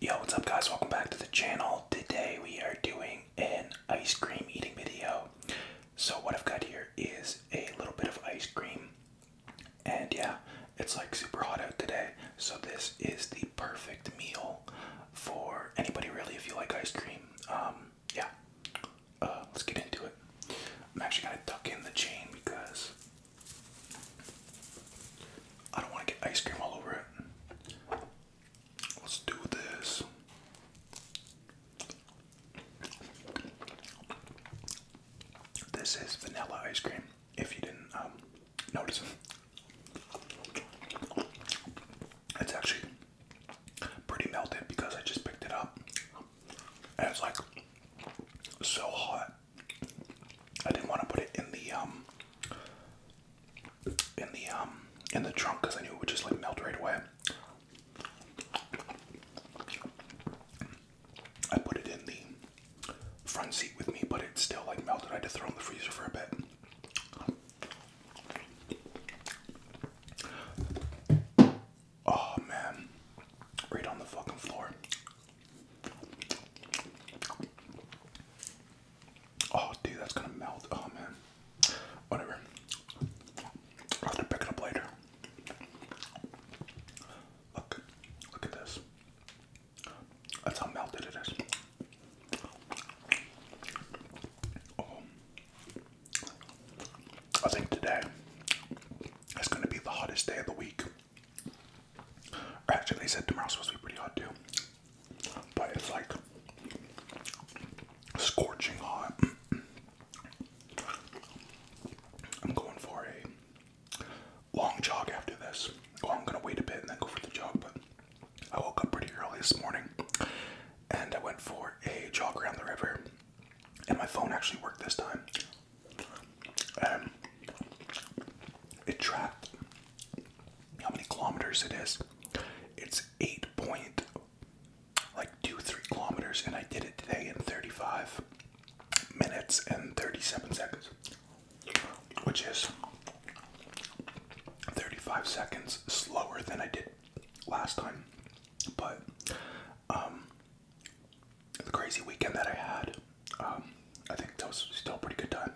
Yo, what's up guys? Welcome back to the channel. Today we are doing an ice cream eating video. So what I've got here is a little bit of ice cream. And yeah, it's like super hot out today. So this is the perfect meal for anybody really if you like ice cream. Um, yeah, uh, let's get into it. I'm actually gonna tuck in the chain because I don't want to get ice cream all over it. Let's do this. This is vanilla ice cream, if you didn't um, notice. It's actually pretty melted because I just picked it up. And it's like so hot. I didn't want to put it in the um in the um in the trunk because I knew it would just like melt right away. I put it in the front seat with me, but it still like melted. I had to throw in the freezer for a bit. Oh man. Right on the fucking floor. Oh, dude, that's gonna melt. Oh man, whatever. I'll up later. Look, look at this. That's how melted it is. Oh. I think today is going to be the hottest day of the week. Actually, they said tomorrow's supposed to be pretty hot too, but it's like scorching hot. I'm going for a long jog after this. Well, I'm gonna wait a bit and then go for the jog, but I woke up pretty early this morning and I went for a jog around the river, and my phone actually worked this time. It tracked how many kilometers it is. It's eight point like two three kilometers, and I did it today in thirty five minutes and thirty seven seconds, which is thirty five seconds slower than I did last time. But um, the crazy weekend that I had um, I think that was still a pretty good time.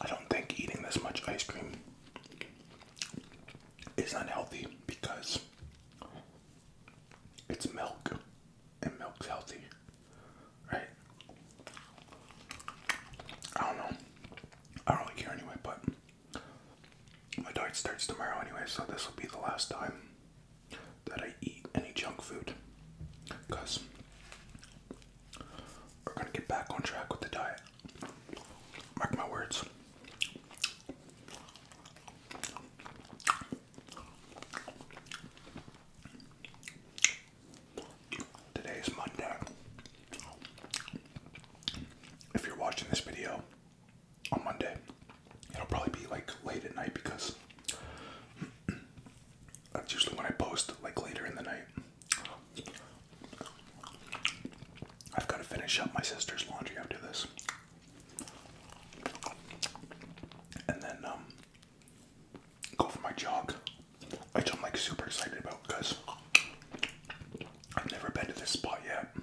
I don't think eating this much ice cream is unhealthy because it's milk and milk's healthy, right? I don't know. I don't really care anyway, but my diet starts tomorrow anyway, so this will be the last time that I eat any junk food. Because we're gonna get back on track with the diet. Mark my words. Today is Monday. If you're watching this video on Monday, it'll probably be like late at night because that's usually when I post, like later in the night. I've got to finish up my sister's laundry after this. And then um, go for my jog, which I'm like super excited about because I've never been to this spot yet.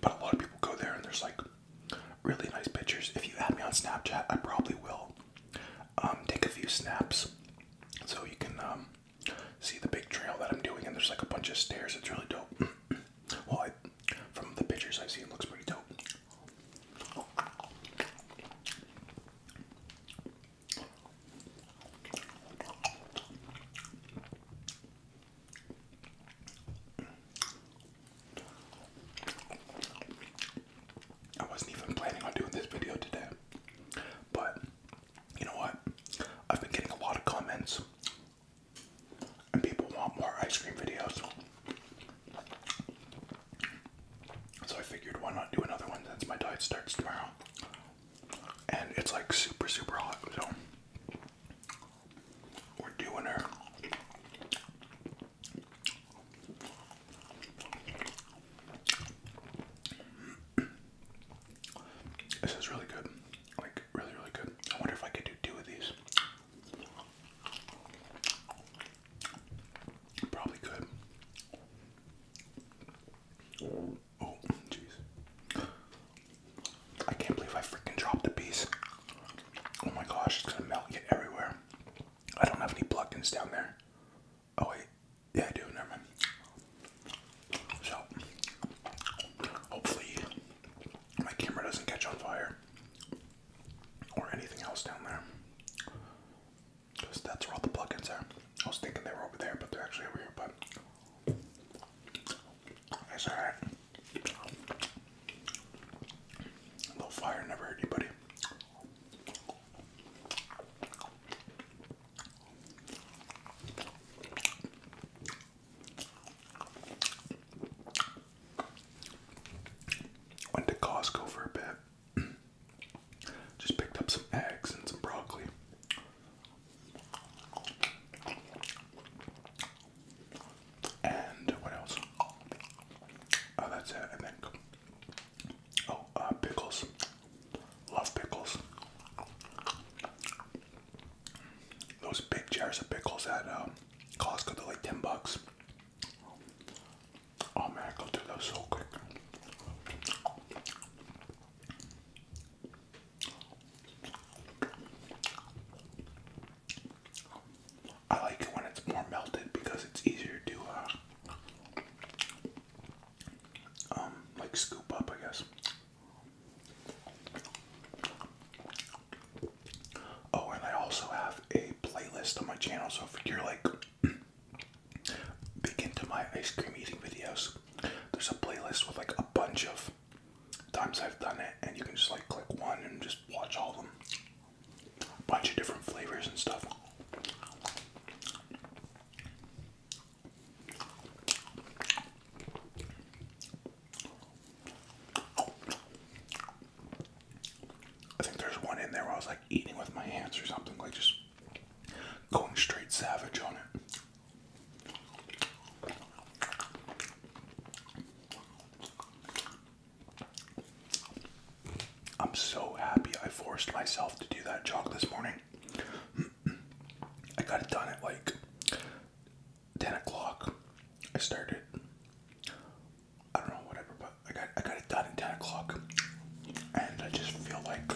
But a lot of people go there and there's like really nice pictures. If you add me on Snapchat, I probably will um, take a few snaps so you can um, see the big trail that I'm doing. And there's like a bunch of stairs. It's really dope. well, I from the pictures I've seen, looks pretty dope. I wasn't even planning on doing this video today, but you know what? I've been getting a lot of comments, and people want more ice cream videos. So I figured why not do another one since my diet starts tomorrow. And it's like super, super hot, so we're doing her. This is really good. Like, really, really good. I wonder if I could do two of these. Probably could. Oh, jeez. I can't believe I freaking dropped the piece. Oh my gosh, it's gonna melt and everywhere. I don't have any plugins down there. Oh wait, yeah I do, never So, hopefully my camera doesn't catch on fire or anything else down there. Because that's where all the plugins are. I was thinking they were over there, but they're actually over here, but it's alright. A little fire never hurt anybody. Went to Costco for a bit. Just picked up some eggs and some broccoli. And what else? Oh, that's it, I think. Oh, uh, pickles. Love pickles. Those big jars of pickles at um, Costco, they like 10 bucks. Oh man, I could do that so quick. I like it when it's more melted because it's easier to uh, um, like scoop up, I guess. Oh, and I also have a playlist on my channel, so if you're like big into my ice cream eating videos, there's a playlist with like a bunch of times I've done it, and you can just like click one and just watch all of them. bunch of different flavors and stuff. I think there's one in there where I was like eating with my hands or something, like just going straight savage on it. I'm so happy I forced myself to do that jog this morning. I got it done at like 10 o'clock. I started I don't know, whatever, but I got I got it done at 10 o'clock. And I just feel like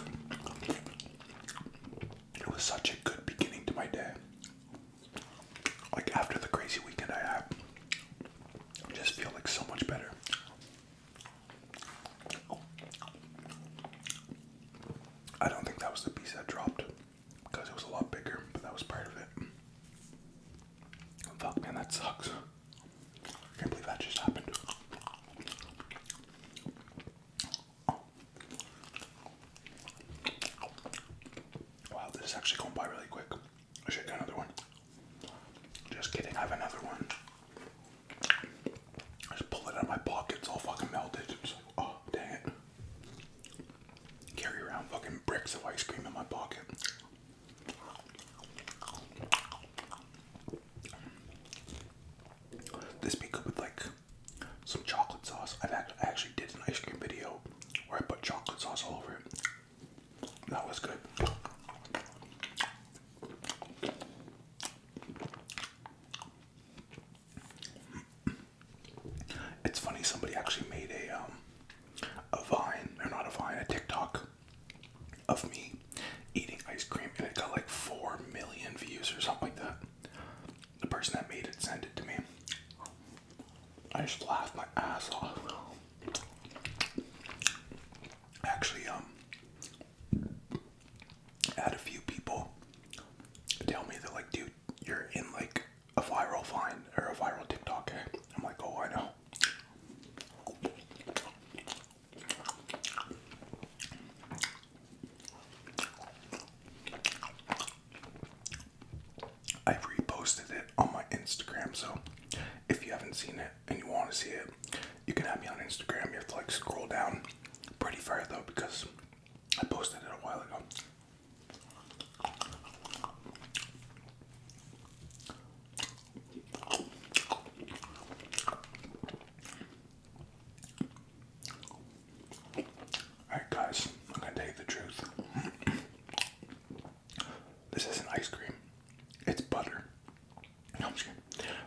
it was such a good beginning to my day. Like after the crazy weekend I had, I just feel like so much better. I don't think that was the piece that dropped because it was a lot bigger, but that was part of it. Fuck, man, that sucks. I can't believe that just happened. Wow, this is actually going by really quick. I should get another one. Just kidding, I have another one. I just pulled it out of my pocket, it's all fucking melted. It's like, oh, dang it. Carry around fucking bricks of ice cream in my pocket. This be good with like some chocolate sauce. I've actually did an ice cream video where I put chocolate sauce all over it. That was good. It's funny somebody actually made a um a vine, or not a vine, a TikTok of me eating ice cream, and it got like 4 million views or something like that. The person that made it sent it to me. I just laughed my ass off. Actually, um, I had a few people tell me that, like, dude, you're in like a viral vine or a viral TikTok. Eh? I'm like, oh, I know. I reposted it on my Instagram, so if you haven't seen it and you want to see it, you can have me on Instagram. You have to like scroll down pretty far though because I posted it a while ago. Alright, guys, I'm gonna tell you the truth. this isn't ice cream, it's butter. I'm just kidding.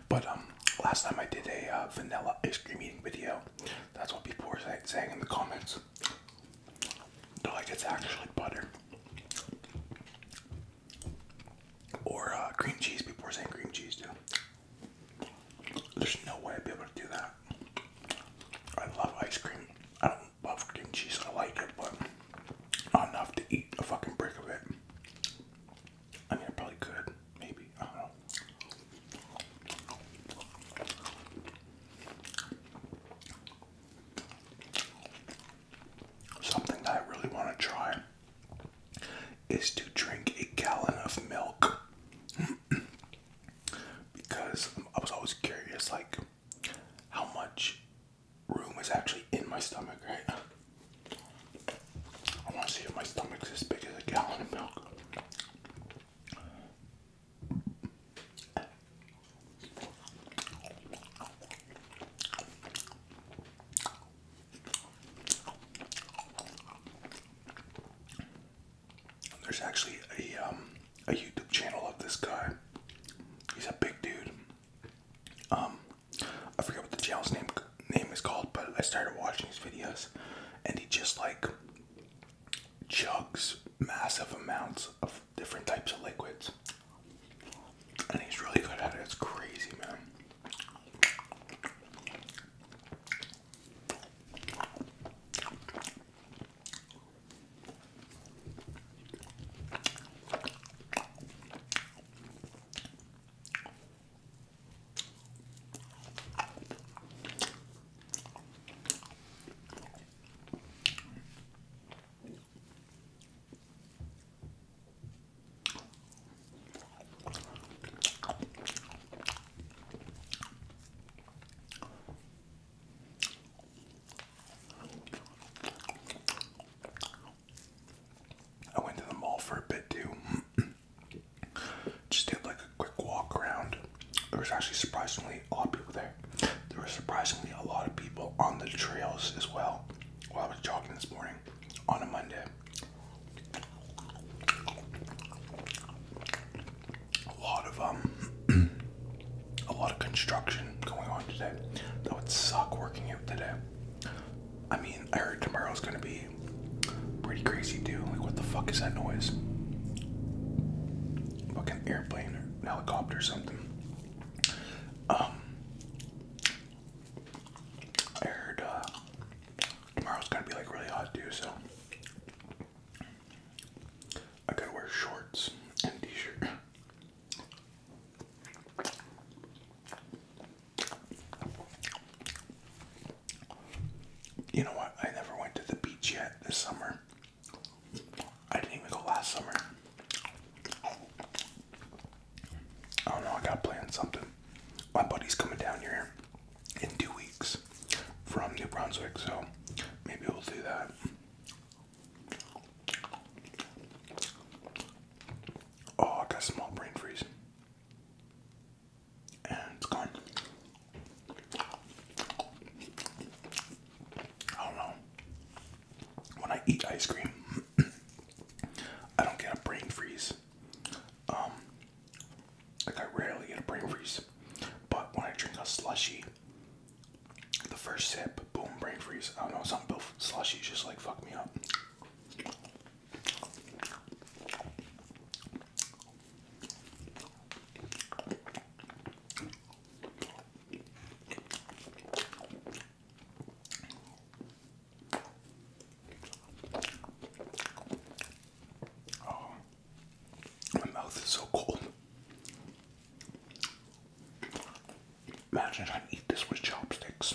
But, um, last time I did a uh, vanilla ice cream eating video, that's what people were saying in the comments. They're like, it's actually butter. Or uh, cream cheese. People were saying cream cheese too. There's no way I'd be able to do that. I love ice cream. I don't love cream cheese. I like it, but not enough to eat a fucking brick of it. I mean, I probably could. Maybe. I don't know. Something I really want to try is to drink a gallon of milk because I was always curious, like, how much room is actually in my stomach, right? I want to see if my stomach's as big as a gallon of milk. There's actually a um, a YouTube channel of this guy. He's a big dude. Um, I forget what the channel's name name is called, but I started watching his videos, and he just like chugs massive amounts of different types of liquids. And he's really good at it. It's crazy, man. I went to the mall for a bit too. Just did like a quick walk around. It was actually surprisingly a lot of people there. There were surprisingly a lot of people on the trails as well while I was jogging this morning on a Monday. A lot of um a lot of construction going on today. That would suck working out today. I mean, I heard tomorrow's gonna be pretty crazy too. Like what the fuck is that noise? Fucking airplane or helicopter or something. Um, I heard uh, tomorrow's gonna be like really hot too, so I gotta wear shorts and a t-shirt. You know what? I never went to the beach yet this summer. I didn't even go last summer. I don't know, I got planned something. My buddy's coming down here in two weeks from New Brunswick, so maybe we'll do that. Oh, I got small brain freeze. And it's gone. I don't know. When I eat ice cream, I don't get a brain freeze. Um, like I rarely get a brain freeze. But when I drink a slushy, the first sip, boom, brain freeze. I don't know, something about slushies just like fuck me up. Oh, my mouth is so cold. Imagine if I eat this with chopsticks.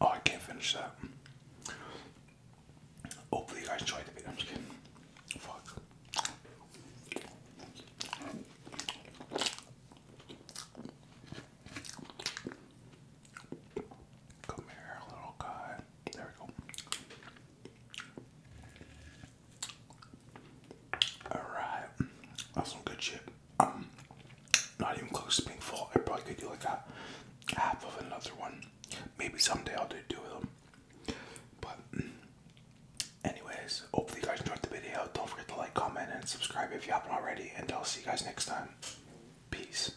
Oh, I can't finish that. Hopefully, you guys enjoyed the video. I'm just kidding. Fuck. Come here, little guy. There we go. Alright, that's some good shit. Um, not even close to being full. I probably could do like a half of another one. Maybe someday I'll do two of them. But, anyways, hopefully you guys enjoyed the video. Don't forget to like, comment, and subscribe if you haven't already. And I'll see you guys next time. Peace.